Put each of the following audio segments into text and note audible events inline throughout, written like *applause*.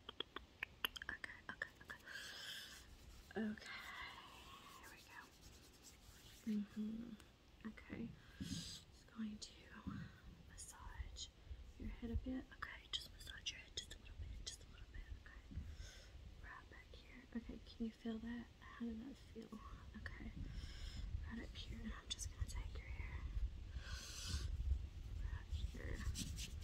Okay, okay, okay. Okay, here we go. hmm. Okay, just going to massage your head a bit. Okay, just massage your head just a little bit, just a little bit. Okay, right back here. Okay, can you feel that? How did that feel? Okay, right up here. I'm just gonna take your hair. here.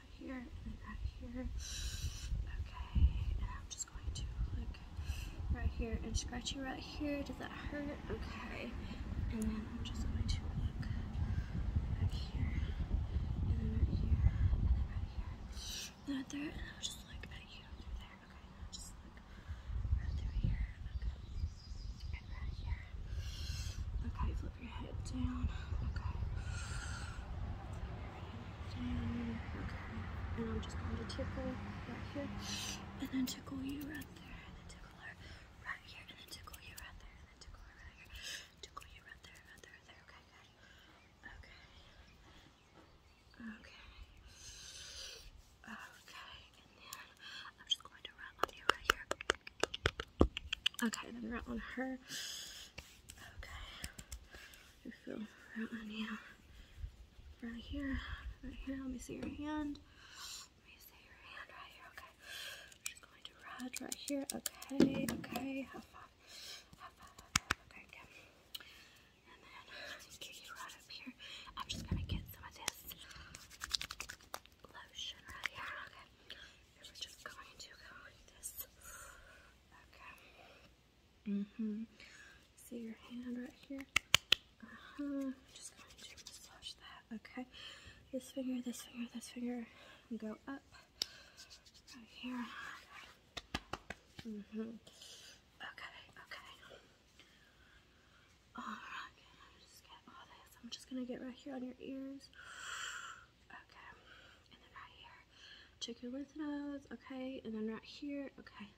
that here and then that here. Okay, and I'm just going to look right here and scratch you right here. Does that hurt? Okay, and then I'm just going to look back here and then right here and then right here right there. And I'll just look at you there. Okay, I'll just look right through here. Okay, and right here. Okay, Flip your head down. Okay. Down. Okay. And I'm just going to tickle right here. And then tickle you right there. And then tickle her right here. And then tickle you right there. And then tickle her right here. Tickle you right there, right there, right there. Okay, good. Okay. Okay. Okay. And then I'm just going to rub on you right here. Okay, then right on her. Okay. I feel right on you. Right here. Right here. Let me see your hand. Let me see your hand right here. Okay. i going to ride right here. Okay. Okay. High five. High five. High Okay. Okay. And then kick right up here. I'm just going to get some of this lotion right here. Okay. we're just going to go like this. Okay. Mm-hmm. See your hand right here? Uh-huh. Just going to massage that. Okay. This finger, this finger, this finger. go up. Right here. Mm-hmm. Okay. Okay, okay. Alright. Okay, I'm just get all this. I'm just gonna get right here on your ears. Okay, and then right here. Check your lymph nodes. Okay, and then right here. Okay,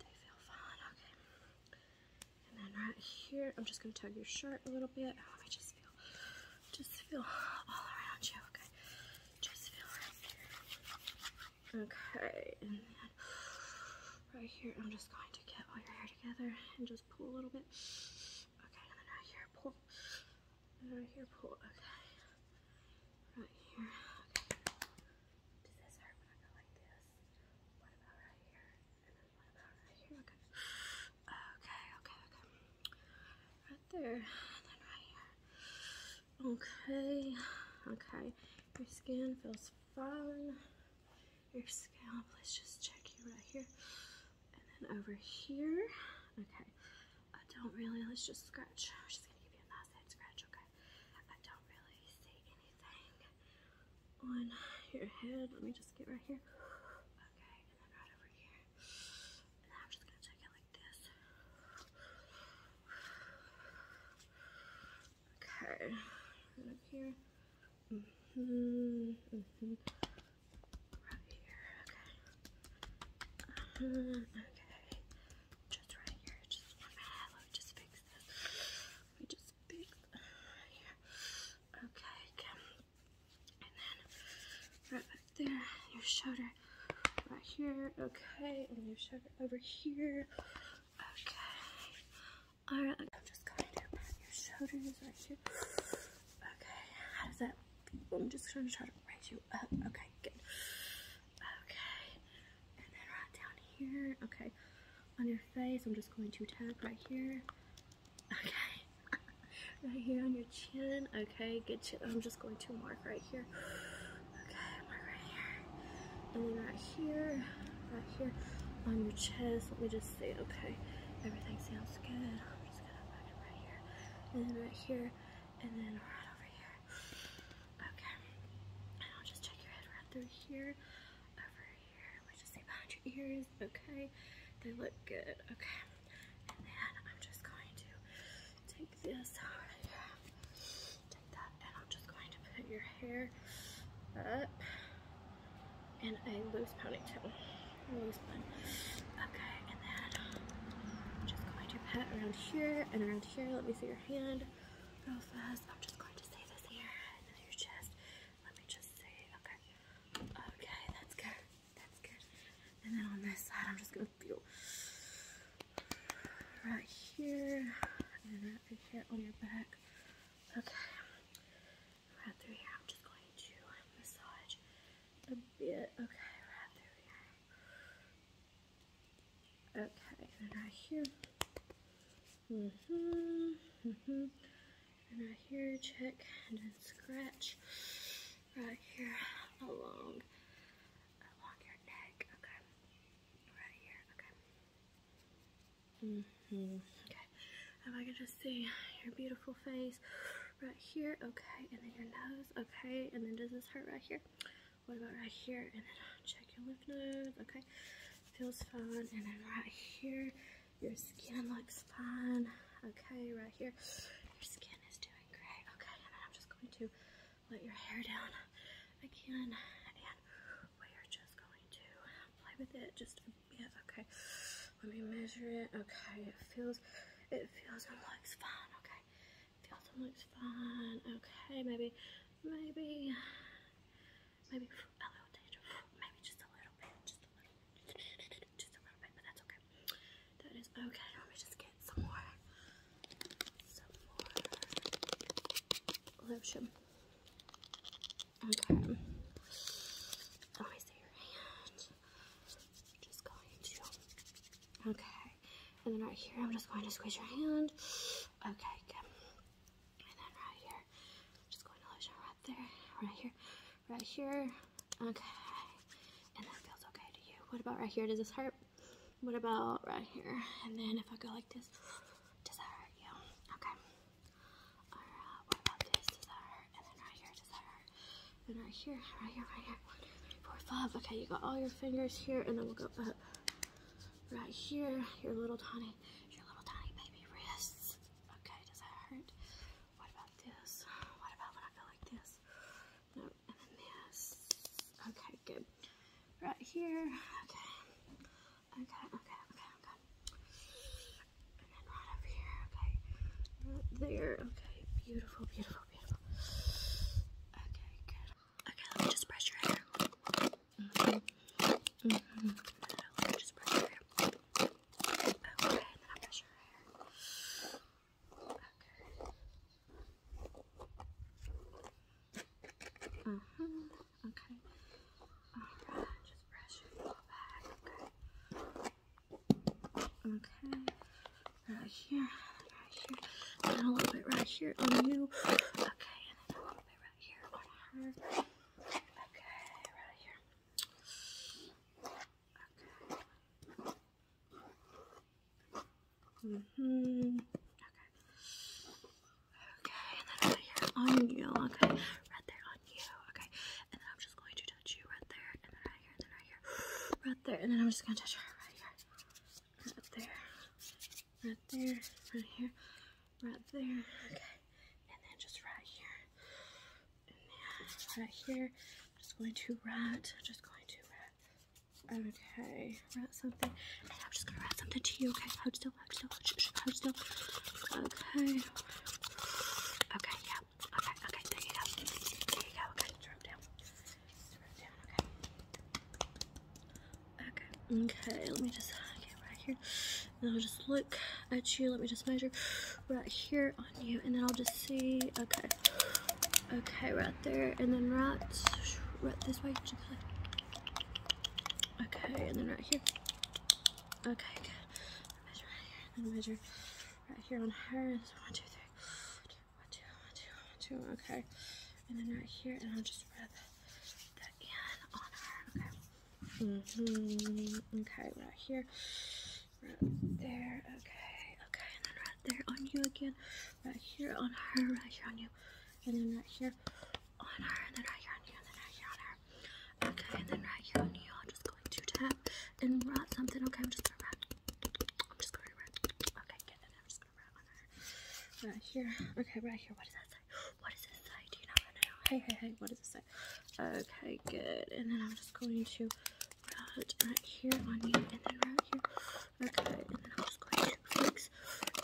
they feel fine. Okay, and then right here. I'm just gonna tug your shirt a little bit. Oh, just feel, just feel all around you. Okay, just feel right here. Okay, and then right here. I'm just going to get all your hair together and just just pull a little bit. Okay, and then right here, pull. And right here, pull. Okay. Right here. Okay. Does this hurt when I go like this? What about right here? And then what about right here? Okay. Okay, okay, okay. Right there. And then right here. Okay. Okay. Your skin feels fine your scalp. Let's just check you right here. And then over here. Okay. I don't really, let's just scratch. I'm just going to give you a nice head scratch, okay? I don't really see anything on your head. Let me just get right here. Okay, and then right over here. And I'm just going to check it like this. Okay. And up here. Mm -hmm, mm -hmm. Right here. Okay. Uh, okay. Just right here. Just one minute. just fix this. Let just fix here. Okay. And then right back there. Your shoulder right here. Okay. And your shoulder over here. Okay. Alright, I'm just going to put your shoulders right here. Okay, how does that feel? I'm just going to try to raise you up. Okay, good. Okay, and then right down here. Okay, on your face, I'm just going to tap right here. Okay, *laughs* right here on your chin. Okay, good I'm just going to mark right here. Okay, mark right here and then right here, right here on your chest. Let me just see. Okay, everything sounds good. I'm just gonna put it right here, and then right here, and then right over here. Okay, and I'll just check your head right through here, over here. Let me just see behind your ears. Okay, they look good. Okay, and then I'm just going to take this. Right and I'm just going to put your hair up in a loose ponytail. Okay, and then just going to pat around here and around here. Let me see your hand real fast. I'm just going to say this here and then your chest. Let me just say, Okay. Okay, that's good. That's good. And then on this side, I'm just going to feel right here and right here on your back. Okay, right through here. I'm just going to um, massage a bit. Okay, right through here. Okay, and right here. hmm hmm And right here, check and then scratch right here along along your neck. Okay. Right here, okay. Mm hmm Okay. If I could just see your beautiful face right here, okay, and then your nose, okay, and then does this hurt right here? What about right here? And then check your left nose, okay. Feels fine. And then right here, your skin looks fine. Okay, right here. Your skin is doing great. Okay, and then I'm just going to let your hair down I can. we are just going to play with it just yes. Okay, let me measure it. Okay, it feels, it feels and looks fine. Okay, it feels and looks fine. Okay, maybe, maybe, maybe a little danger, maybe just a little bit, just a little bit, but that's okay. That is okay. Let me just some more, lotion. Okay. Let me see your hand. Just going to. Okay. And then right here, I'm just going to squeeze your hand. Okay, good. And then right here, just going to lotion right there, right here, right here. Okay. And that feels okay to you. What about right here? Does this hurt? What about right here? And then if I go like this, does that hurt you? Okay. All right. What about this? Does that hurt? And then right here, does that hurt? And right here, right here, right here. One, two, three, four, five. Okay, you got all your fingers here, and then we'll go up right here. Your little tiny, your little tiny baby wrists. Okay, does that hurt? What about this? What about when I go like this? Okay, good. Right here. Okay. Okay, okay, okay, okay. And then right over here. Okay. Right there. Okay. Beautiful, beautiful, beautiful. Okay, good. Okay, let me just brush your hair. Mm -hmm. Mm -hmm. No, let me just brush your hair. Okay, and then I brush your hair. Mm hmm Okay. Alright, just brush your all back. Okay. Okay. Right here. Right here. a little bit right here on you. Okay, and a little bit right here on her. Okay, right here. Okay. Mm hmm Okay. Okay, and then right here on you. Okay. Right there on you. Okay. And then I'm just going to touch you right there. And then right here. And then right here. *gasps* Right there. And then I'm just gonna touch her right here. Right there. Right there. Right here. Right there. Okay. And then just right here. And then right here. I'm just going to write, just going to write, okay, write something, and I'm just going to write something to you, okay, hold still, hold still, hold still, hold still, okay, okay, yeah, okay, okay, there you go, there you go, okay, drop down, drop down, okay, okay, okay, let me just get right here, and I'll just look at you, let me just measure, right here on you and then I'll just see okay okay right there and then right right this way okay and then right here okay good measure right here and then measure right here on her so one two three one two one two one two okay and then right here and I'll just rub that in on her okay mm-hmm, okay right here right there. Okay, okay, and then right there on you again. Right here on her, right here on you, and then right here on her, and then right here on you, and then right here on her. Okay, and then right here on you, I'm just going to tap and wrap something. Okay, I'm just gonna wrap. I'm just gonna wrap. Okay, get it. I'm just gonna wrap on her. Right here. Okay, right here. What does that say? What does it say? Do you know? Right now? Hey, hey, hey. What does it say? Okay, good. And then I'm just going to put right here on you and then right here. Okay, and then I'm just going to fix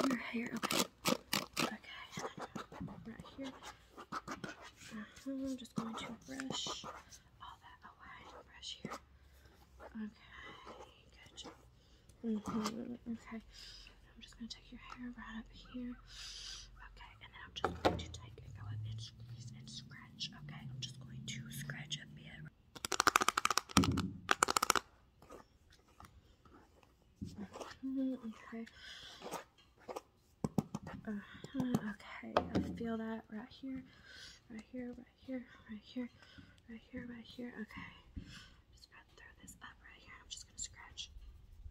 your hair. Okay. Okay, right here. Uh-huh, I'm just going to brush all that away. Brush here. Okay, good. Mm Okay. I'm just going to take your hair right up here. Okay, and then I'm just going to take and go up and squeeze and scratch. Okay, I'm just going to scratch a bit. Okay. Uh-huh, okay, I feel that right here, right here, right here, right here, right here, right here. Okay, I'm just gonna throw this up right here. I'm just gonna scratch.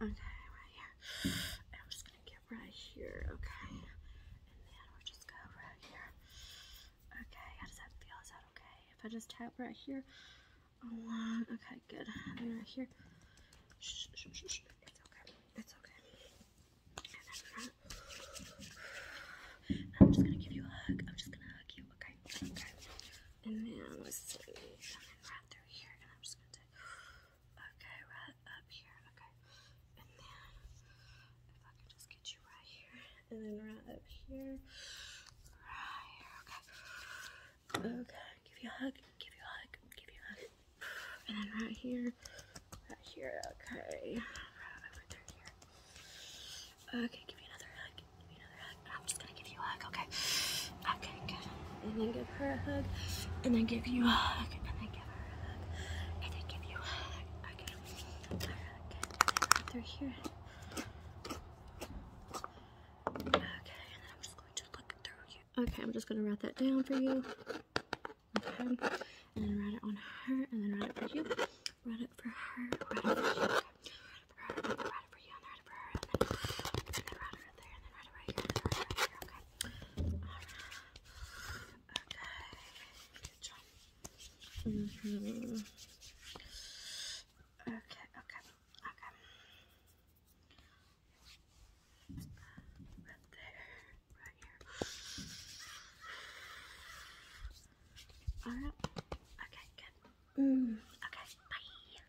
Okay, right here get right here, okay? And then we'll just go right here. Okay, how does that feel? Is that okay? If I just tap right here, okay, good. And then right here, it's okay, it's okay. And then front. And I'm just gonna give you a hug. I'm just gonna hug you, okay? Okay. And then let's see. And right through here, and I'm just gonna Okay, right up here. Okay. And then if I could just get you right here. And then right up here. Right here. Okay. Okay. Give you a hug. Give you a hug. Give you a hug. And then right here. Right here. Okay. Right over through here. Okay, give you another hug. Give me another hug. I'm just gonna give you a hug, okay? Okay, good. And then give her a hug. And then give you a hug. And then give her a hug. And then give you a hug. Okay. Alright, through here. Okay, and I'm just going to look through you. Okay, I'm just going to write that down for you. Okay. And then write it on her. And then write it for you. Write it for her. Write it for you. Okay. Write Write it for you right over her, and then, and then right over there, and then right over here, and then right over here, okay? Alright. Okay. Good job. Mm hmm Okay, okay, okay. Right there, right here. Alright. Okay, good. Mm. Okay, bye.